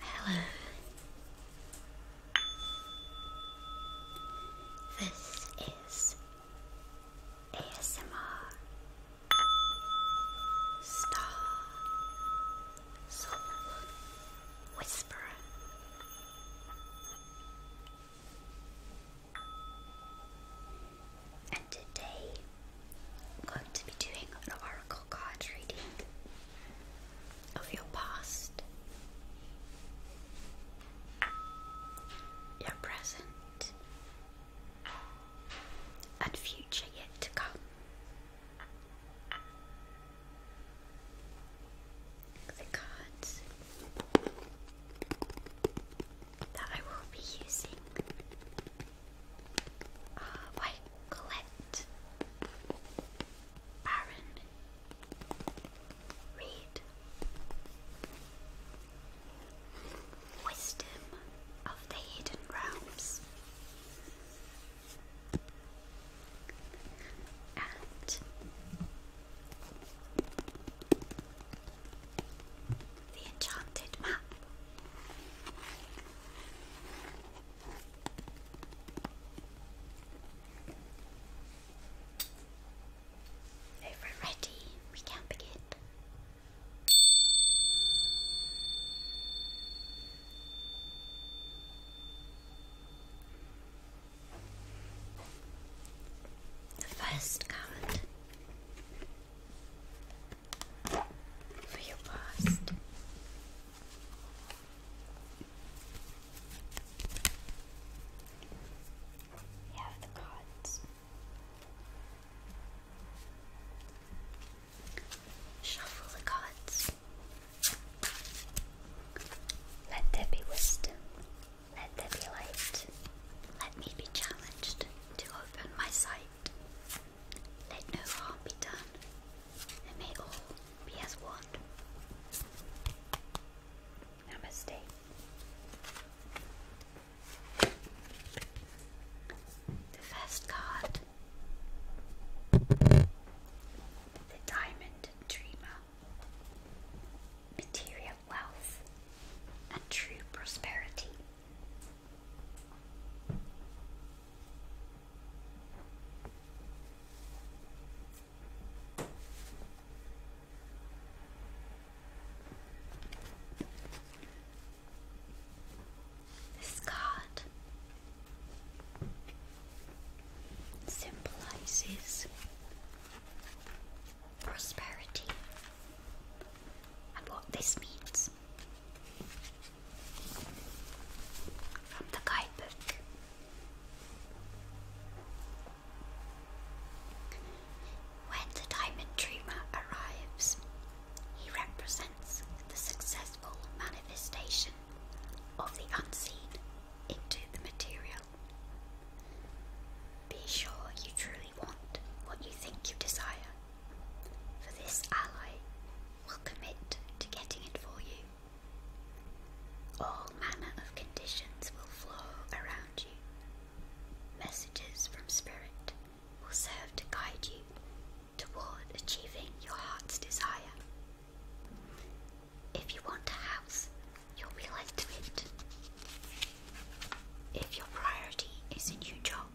Hello. This is ASMR Star Soul Whisperer and today I'm going to be doing an oracle card reading of your past, your present, and future yet to come. The cards that I will be using uh, why? Colette. Baron. Wisdom of the Hidden Realms. And the enchanted map. If we're ready, we can begin. first card for your past. We have the cards. Shuffle the cards. Let there be wisdom. Let there be light. Let me be challenged to open my sight. Let no harm be done, may all be as one. Namaste. The first card, the Diamond Dreamer, material wealth and true prosperity. This card symbolizes prosperity and what this means. From the guidebook. When the diamond dreamer arrives, he represents the successful manifestation of the unseen into the material. Be sure you truly want what you think you desire for this ally will commit to getting it for you. All manner of conditions will flow around you. Messages from Spirit will serve to guide you toward achieving your heart's desire. If you want a house, you'll be led to it. If your priority is a new job,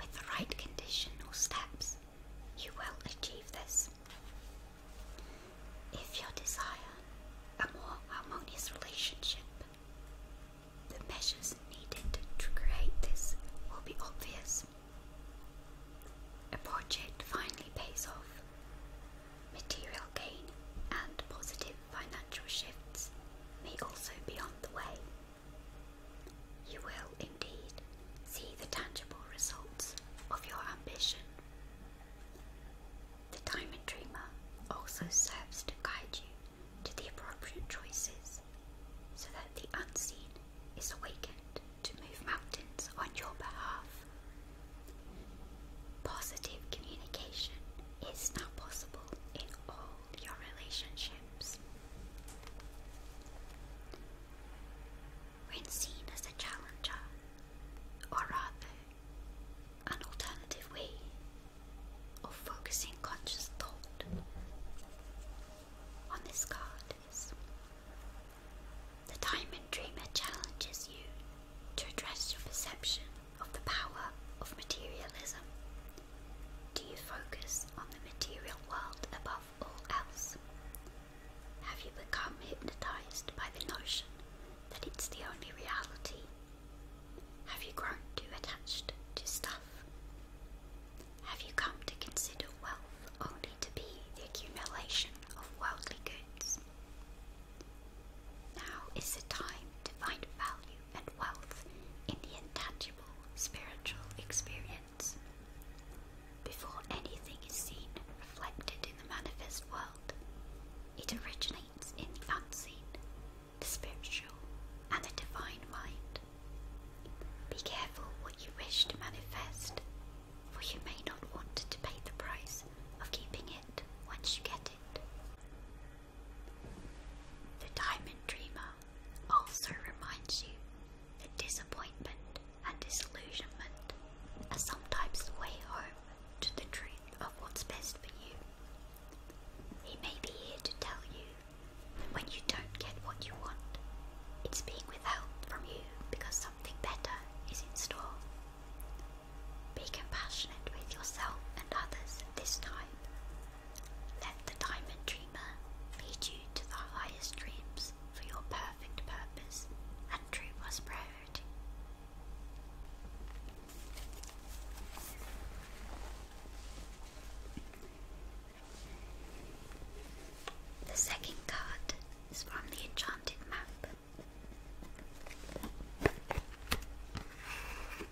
with the right conditional steps, you will achieve this. If you desire a more harmonious relationship, the measures needed to create this will be obvious. A project finally pays off, material gain and positive financial shifts may also be on the way. You will indeed see the tangible results of your ambition. The Diamond Dreamer also serves to guide you to the appropriate choices so that the unseen is awakened to move mountains on your behalf. Positive communication is now possible in all your relationships. When seen as a challenger, or rather, an alternative way of focusing conscious thought on this card is the Diamond Dreamer challenges you to address your perception of the power of materialism? Do you focus on the material world above all else? Have you become hypnotized by the notion that it's the only reality? Have you grown too attached to stuff? Have you come to consider wealth only to be the accumulation of worldly goods? Now is the time to find value and wealth in the intangible spiritual experience. Before anything is seen reflected in the manifest world, it originates in the unseen, the spiritual, and the divine mind. Be careful what you wish to manifest, for you may not want to pay the price of keeping it once you get it. The Diamond Dreamer also reminds you that disappointment and disillusionment are sometimes the way home to the truth of what's best for you. He may be here to tell you that when you don't get what you want, it's being withheld from you because something better is in store. Be compassionate with yourself and others this time let the diamond dreamer lead you to the highest dreams for your perfect purpose and true prosperity. The second card is from the enchanted map.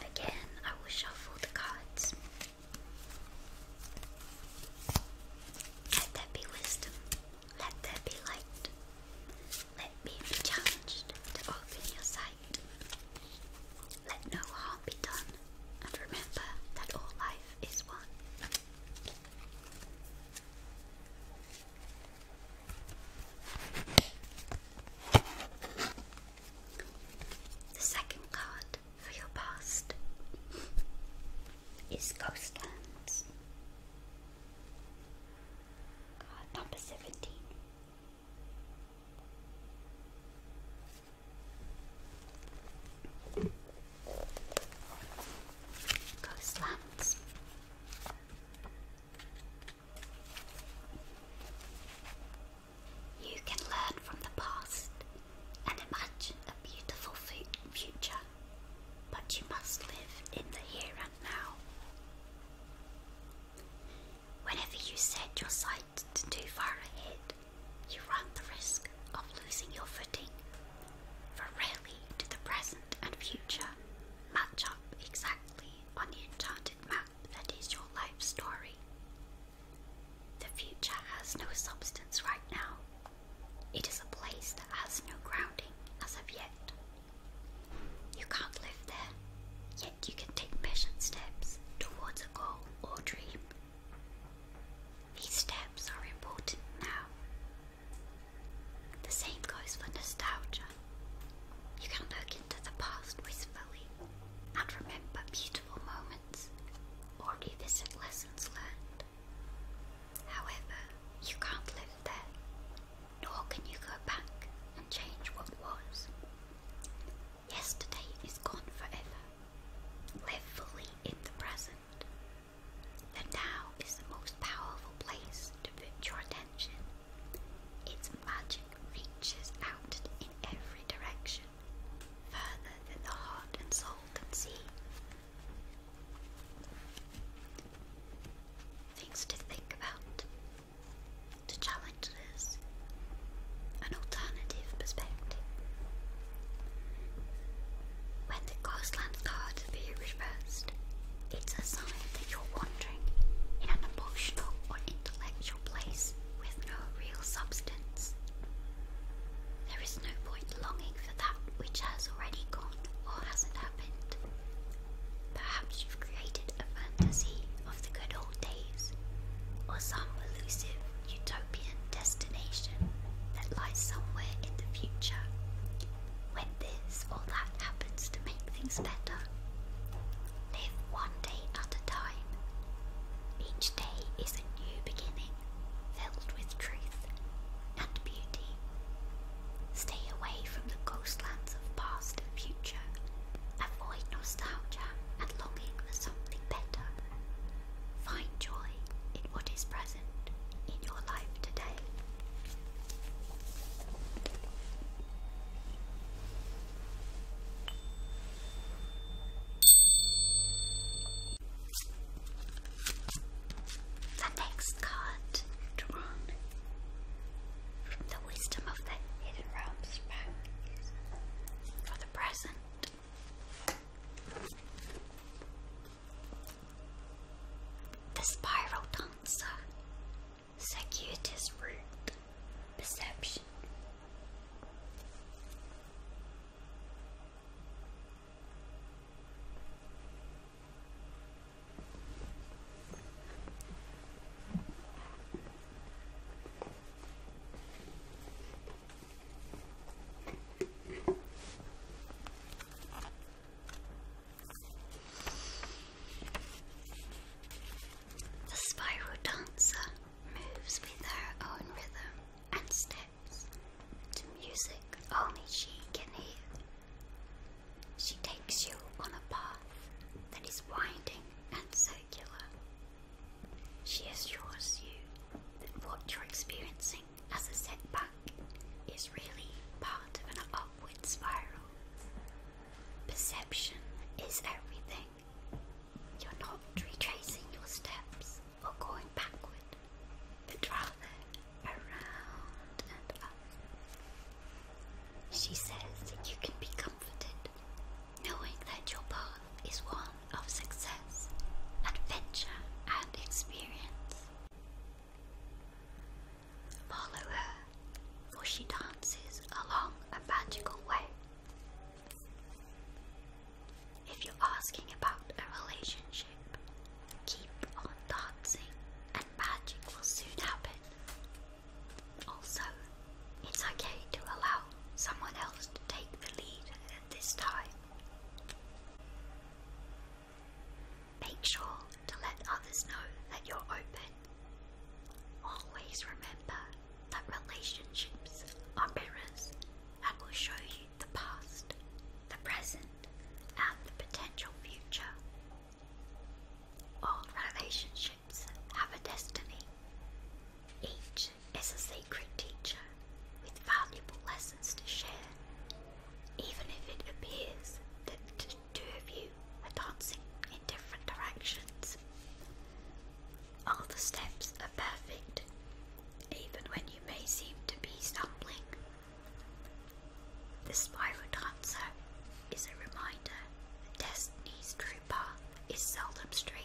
Again, I will shuffle the cards. Let there be wisdom. Let there be light. Let me be challenged to open your sight. Let no harm be done, and remember that all life is one. The second card for your past is Ghost Card number 17. Ghostlands. You can learn from the past and imagine a beautiful future, but you must live in the here and now. Whenever you set your sight too far ahead, you run the risk of losing your footing, for really, do the present and future match up exactly on the enchanted map that is your life story. The future has no substance right now. It is a place that has no grounding as of yet. You can't live there, yet you can take measured steps towards a goal or dream. These steps are important now. The same goes for nostalgia. You can look into the past wistfully and remember beautiful moments or revisit lessons learned. However, you can't live there, nor can you go back and change what was. Yesterday is gone forever. Live fully in the present. The now is the most powerful place to put your attention its magic reaches out in every direction, further than the heart and soul can see. Things to think about, to challenge this, an alternative perspective. When the Coastland card be reversed, it's a sign that you're wandering in an emotional or intellectual place with no real substance. There is no point longing for that which has already gone or hasn't happened. Perhaps you've created a fantasy of the good old days, or some elusive utopian destination that lies somewhere in the future. When this or that happens to make things better, Live one day at a time. Each day is a new beginning, filled with truth and beauty. Stay away from the ghostlands of past and future. Avoid nostalgia and longing for something better. Find joy in what is present in your life today. The next card drawn the wisdom of the hidden realms for the present. The Spiral Dancer circuitous route, perception. The spiral dancer moves with her own rhythm and steps to music only she can hear. She takes you on a path that is winding and circular. She assures you that what you're experiencing as a setback is really part of an upward spiral. Perception is everything. You're not retracing your steps or going backward, but rather around and up. She says that you can be comforted knowing that your path is one of success, adventure, and experience. Follow her, for she dances along a magical way if you're asking about a relationship, keep on dancing and magic will soon happen. Also, it's okay to allow someone else to take the lead at this time. Make sure to let others know that you're open Always remember that relationships are mirrors and will show you the past, the present, and the potential future. All relationships have a destiny. Each is a sacred teacher with valuable lessons to share, even if it appears that two of you are dancing in different directions. All the steps are perfect, even when you may seem to be stumbling. The spiral dancer is a reminder that destiny's true path is seldom straight.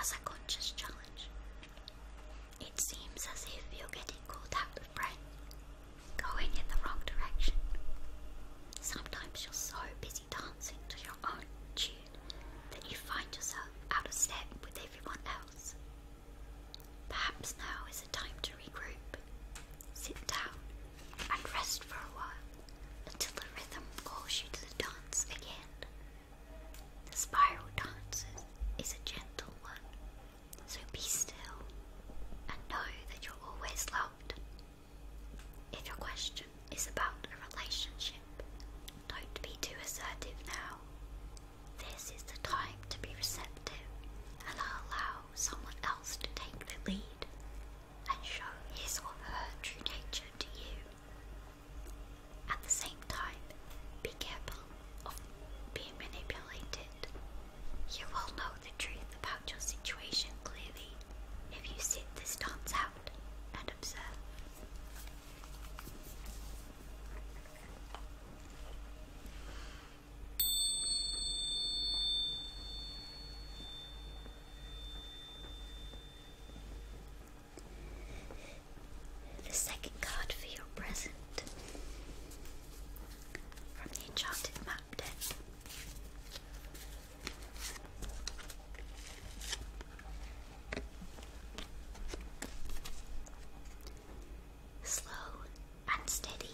As a conscious challenge, it seems as if you're getting caught out of breath going in the wrong direction. Sometimes you're so busy dancing to your own tune that you find yourself out of step with everyone else. Perhaps now is the time to regroup, sit down, and rest for a while until the rhythm calls you to the dance again. The spiral dances is a gentle one so be still and know that you're always loved. If your question is about a relationship, don't be too assertive now. This is the time to be receptive and allow someone else to take the lead and show his or her true nature to you. At the same time, be careful of being manipulated you will know the truth about your situation clearly if you sit this dance out and observe. The second card for your present from the Enchanted Map deck Slow and steady.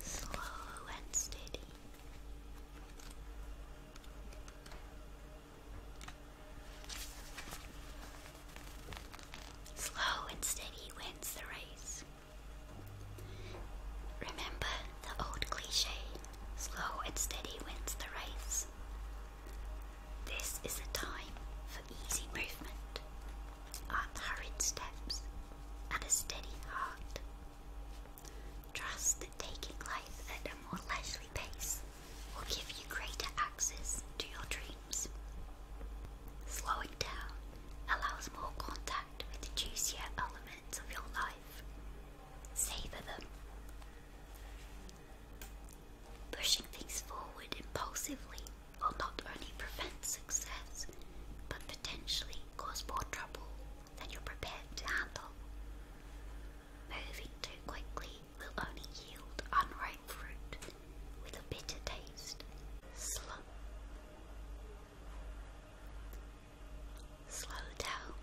Slow and steady. Slow and steady wins the race. Remember the old cliche slow and steady wins the race. This is a time for easy movement, unhurried steps, and a steady heart. Trust that taking life at a more leisurely pace will give you greater access to your dreams. Slowing down allows more contact with the juicier elements of your life. Savor them. Pushing things forward impulsively will not only prevent success, but potentially cause more trouble than you're prepared to handle. Moving too quickly will only yield unripe fruit with a bitter taste. Slow. Slow down.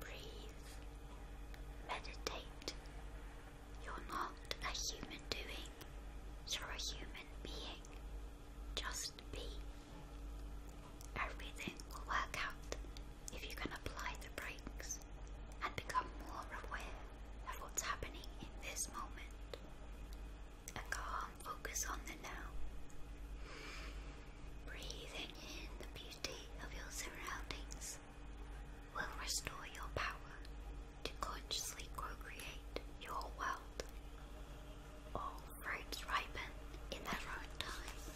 Breathe. Meditate. You're not a human doing, you're a human being. Just be. Everything will work out if you can apply the brakes and become more aware of what's happening in this moment. A calm focus on the now. Breathing in the beauty of your surroundings will restore your power to consciously co create your world. All fruits ripen in their own time.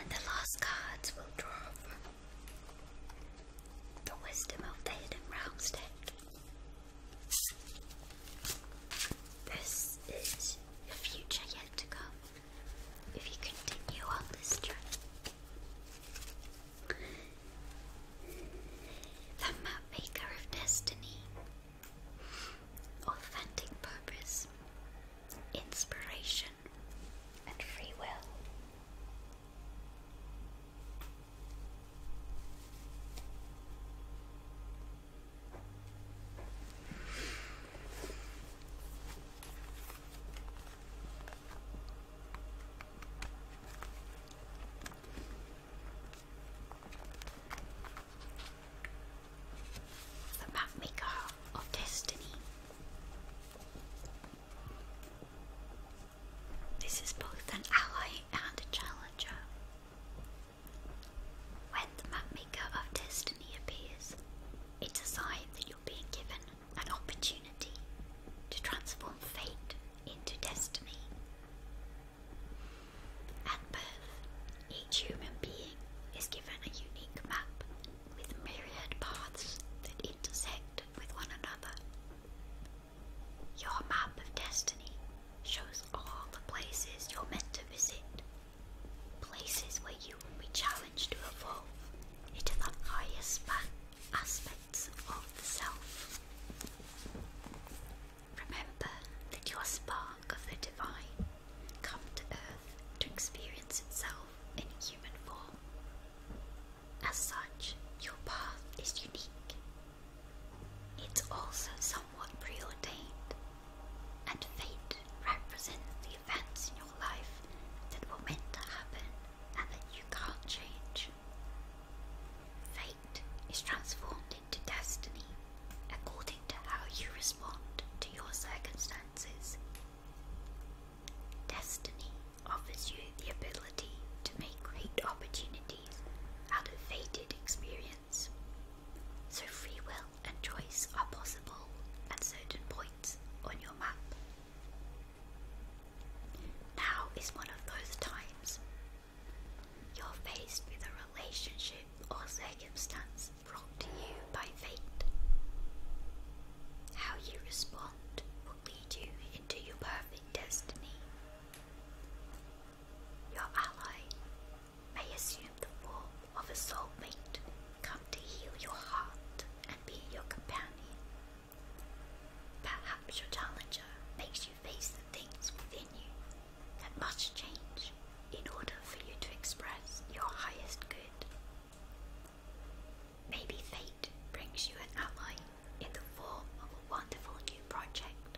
And the last cards will draw the wisdom of the hidden realms this is the future yet to come if you continue on this journey. The Mapmaker of Destiny. Authentic purpose, inspiration, and free will. The mapmaker of destiny. This is both an ally and a challenger. When the mapmaker of destiny appears, it's a sign that you're being given an opportunity to transform fate into destiny. At birth, each human being is given a unique map with myriad paths that intersect with one another. Your map of destiny shows all the places you're meant to visit, places where you will be challenged to evolve into the highest aspects of the self. Remember that your spark of the divine come to earth to experience itself in human form. As such, your path is unique it's also somewhat preordained, and fate represents the events in your life that were meant to happen and that you can't change. Fate is transformed into destiny according to how you respond to your circumstances. Destiny offers you the ability to make great opportunities 1990s had a experience. So, free will and choice are possible at certain points on your map. Now is one of those times. You're faced with a relationship or circumstance brought to you by fate. How you respond will lead you into your perfect destiny. Your ally may assume the form of a soulmate, come to heal your heart and be your companion. Perhaps your challenger makes you face the things within you that must change in order for you to express your highest good. Maybe fate brings you an ally in the form of a wonderful new project,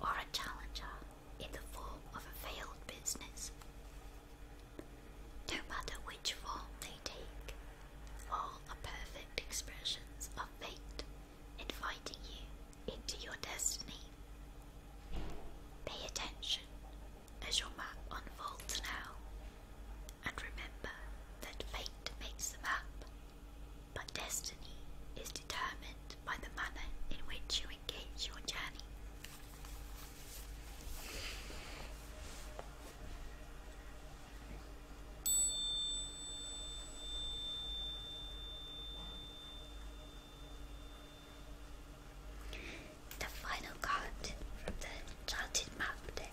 or a challenger in the form of a failed business. No matter which form they take, all are perfect expressions of fate inviting you into your destiny. Pay attention as your map unfolds now, and remember that fate makes the map, but destiny is determined by the manner in which you engage your journey. The final card from the Enchanted Map deck.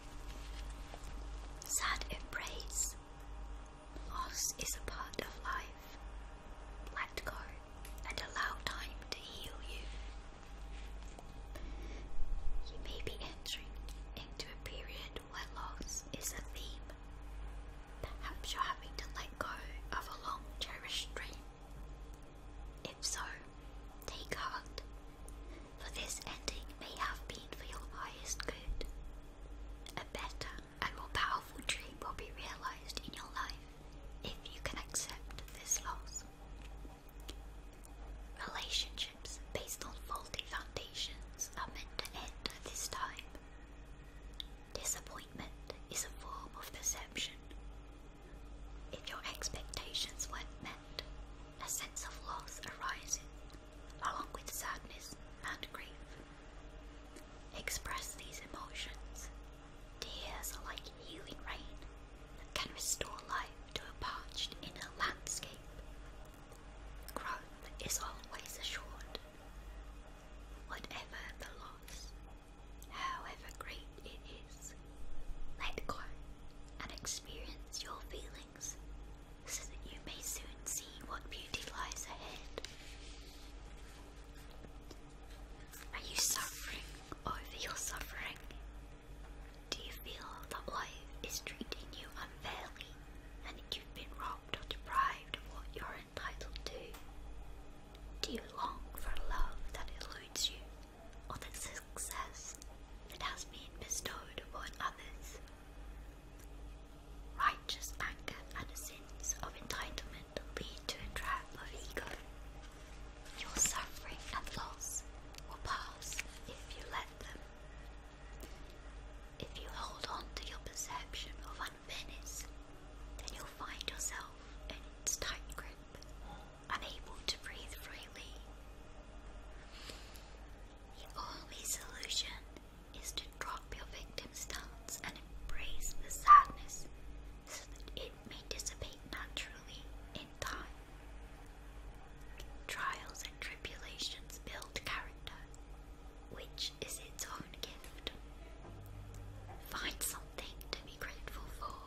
Sad embrace. Loss is a part of life. Let go and allow time to heal you. You may be entering into a period where loss is a theme. Perhaps you're having to let go of a long cherished dream. If so, take heart for this ending may have been for your highest good. A better and more powerful dream will be realized in your life if you can accept this loss. Relationships based on faulty foundations are meant to end at this time. Disappointment is a form of perception. If your expectations weren't met, a sense of loss arises, along with sadness and grief. Express these emotions. Tears are like healing rain that can restore life to a parched inner landscape. Growth is always assured. Whatever the loss, however great it is, let go and experience your feelings so that you may soon see what beauty lies ahead. Are you suffering over oh, your suffering? Do you feel that life is treating you unfairly and that you've been robbed or deprived of what you're entitled to? Do you long for love that eludes you or that success grace that has been bestowed upon others. Righteous anger and a sense of entitlement lead to a trap of ego. Your suffering and loss will pass if you let them. If you hold on to your perception of unfairness, then you'll find yourself in its tight grip, unable to breathe freely. The only solution is to drop your victim's doubts and embrace the sadness so that it may dissipate naturally in time. Trials and tribulations build character, which is its own gift. Find something to be grateful for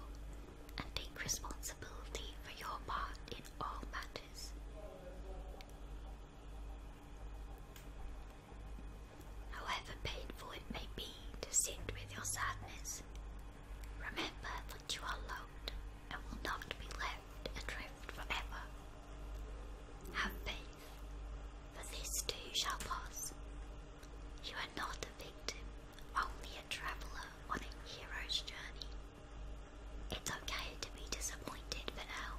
and take responsibility for your part in all matters. However painful it may be to sit with your sadness, remember that you are loved and will not be left adrift forever. Have faith, for this too shall pass. You are not a victim, only a traveller on a hero's journey. It's okay to be disappointed for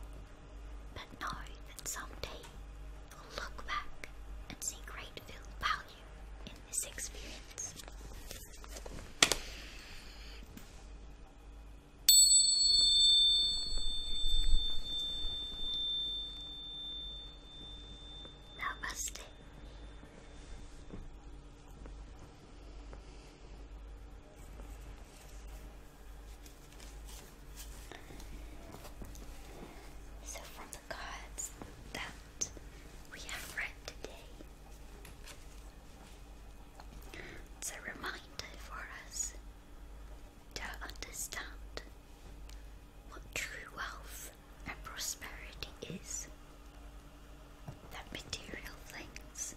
but know that someday you'll look back and see great value in this experience. Namaste. So, from the cards that we have read today, it's a reminder for us to understand what true wealth and prosperity is that material things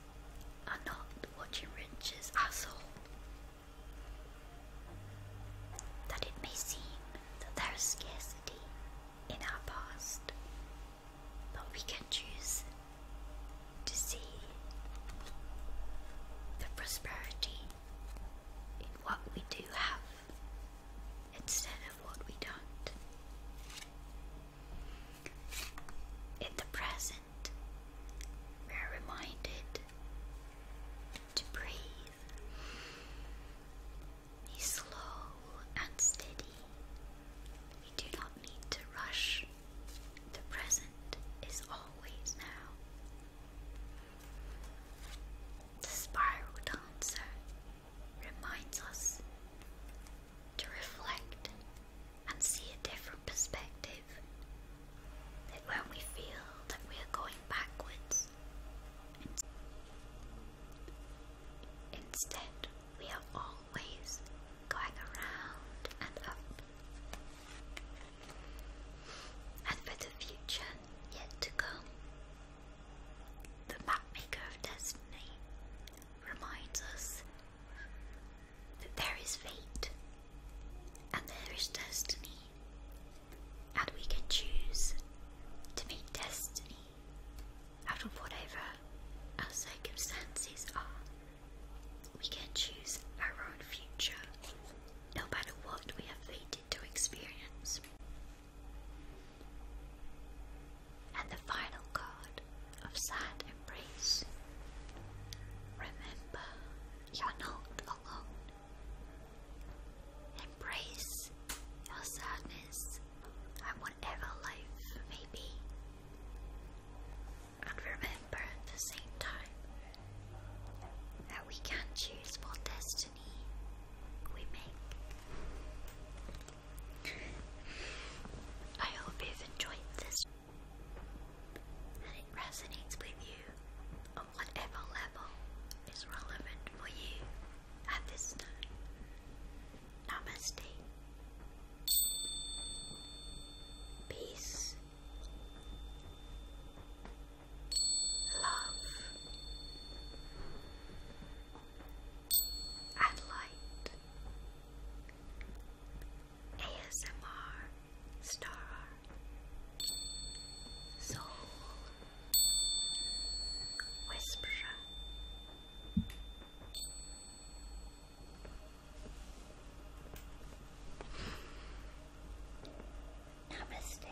are not what enriches our soul. That it may seem that there is scarcity in our past, but we can choose to see the prosperity in what we do have instead of what we don't. In the present, we are reminded to breathe. slow and steady. We do not need to rush. The present is always now. The spiral dancer reminds us to reflect and see a different perspective. That when we feel that we are going backwards, instead we are always going around and up. And for the future yet to come, the mapmaker of destiny reminds us that there is fate and there is destiny, and we can choose to make destiny out of whatever our circumstances are. We can choose our own future, no matter what we are fated to experience and the final card of sad embrace. Remember, you're not alone. Embrace your sadness and whatever life may be. And remember at the same time that we can choose what destiny we make. I hope you've enjoyed this and it resonates with you on whatever level is relevant for you at this time. Namaste. Peace. Love and light. ASMR Star Soul Whisper Namaste